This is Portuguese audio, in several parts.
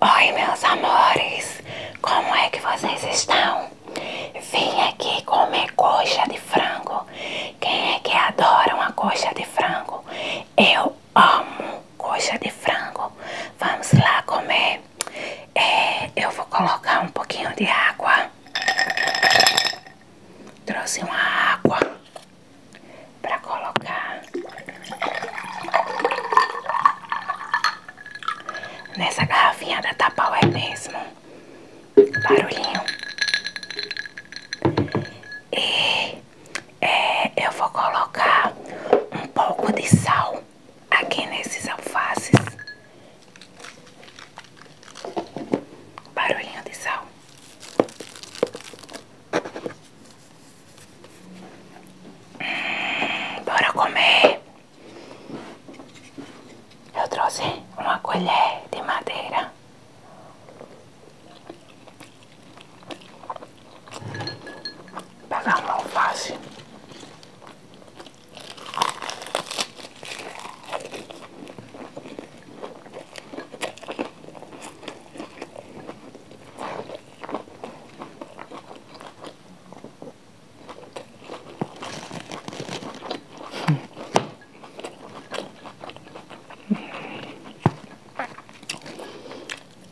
Oi, meus amores, como é que vocês estão? Vim aqui comer coxa de frango. Quem é que adora uma coxa de frango? Eu amo coxa de frango. Vamos lá comer. É, eu vou colocar um pouquinho de água. Trouxe uma água para colocar nessa garrafinha da Tapaué mesmo. Barulhinho. E é, eu vou colocar um pouco de sal aqui nesses alfaces Barulhinho de sal. Hum, bora comer. Eu trouxe uma colher de madeira. Pegar um alface.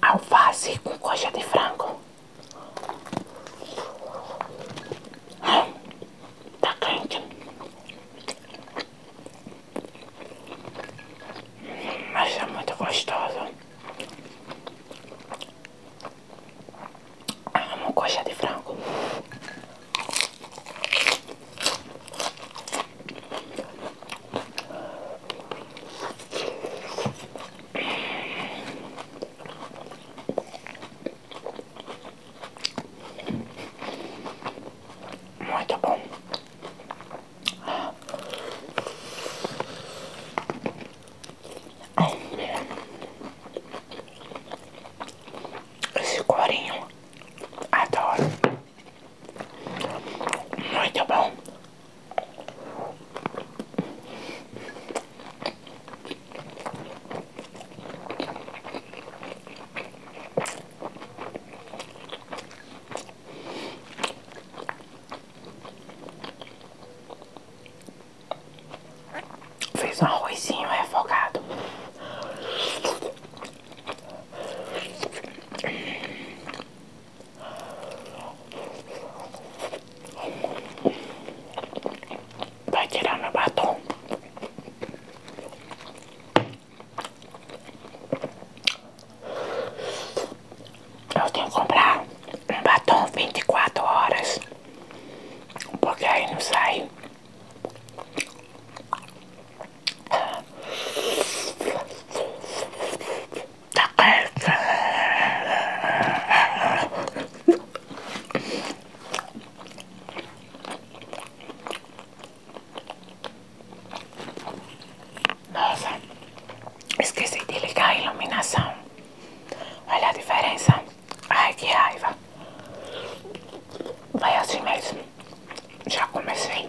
Alface com coxa de frango. Tá quente. Mas é muito gostoso Amo ah, coxa de frango. Muito bom. Esse corinho adoro. Muito bom. Fez um arrozinho refogado. Vai tirar meu batom. Eu tenho que comprar um batom vinte e quatro horas. Porque aí não sai. Tá nossa, esqueci de ligar a iluminação. Olha a diferença. Ai, que raiva. Vai assim mesmo. Já comecei.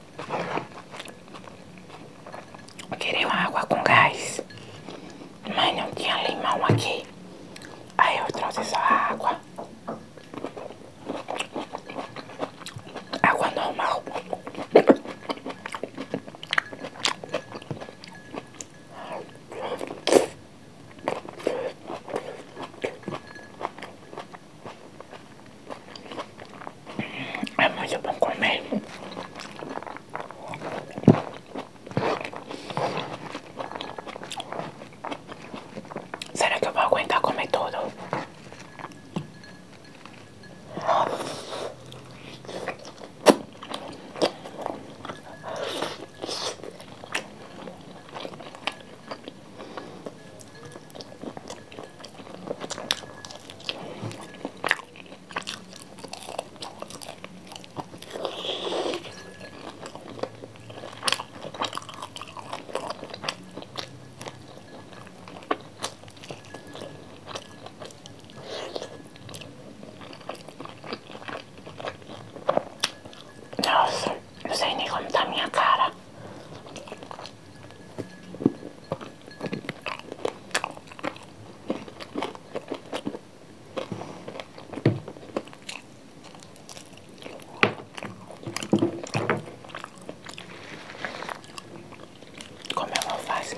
Queriam água com gás, mas não tinha limão aqui. Aí eu trouxe só água. Água normal. É muito bom comer. Será que eu vou aguentar comer tudo? Nossa, não sei nem como tá minha cara. Como é uma alface?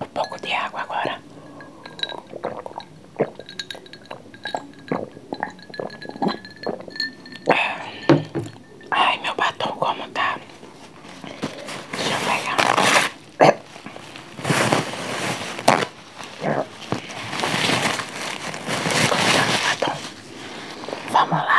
Um pouco de água agora. Ai, meu batom como tá? Deixa eu pegar. Como tá meu batom? Vamos lá.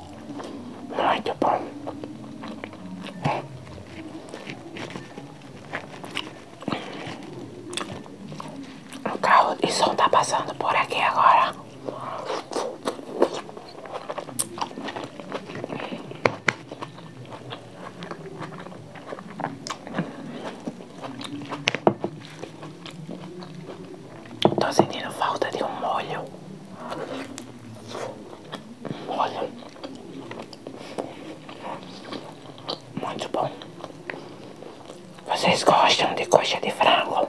Muito bom. O carro de som tá passando por aqui agora. Estou sentindo falta de um molho. molho. Muito bom. Vocês gostam de coxa de frango?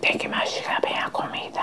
Tem que mastigar bem a comida.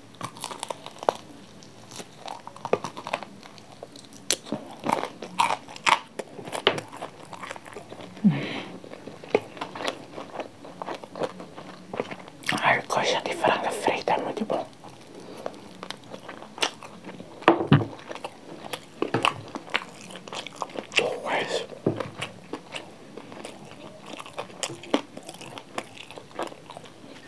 Ai, coxa de frango frita é muito bom. Always.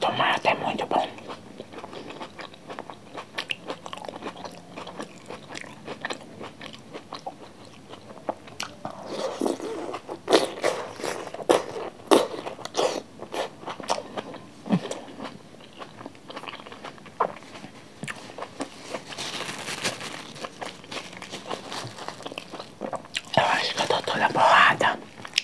Tomate é muito bom. Eu acho que eu tô toda borrada.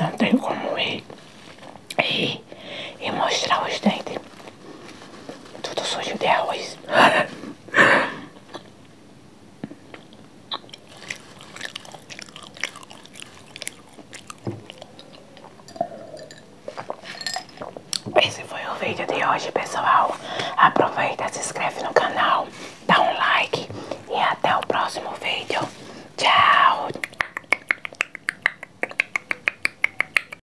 Não tem como ir, e mostrar os dentes. Tudo sujo de arroz. Esse foi o vídeo de hoje, pessoal. Aproveita, se inscreve no canal, dá um like e até o próximo vídeo. Tchau!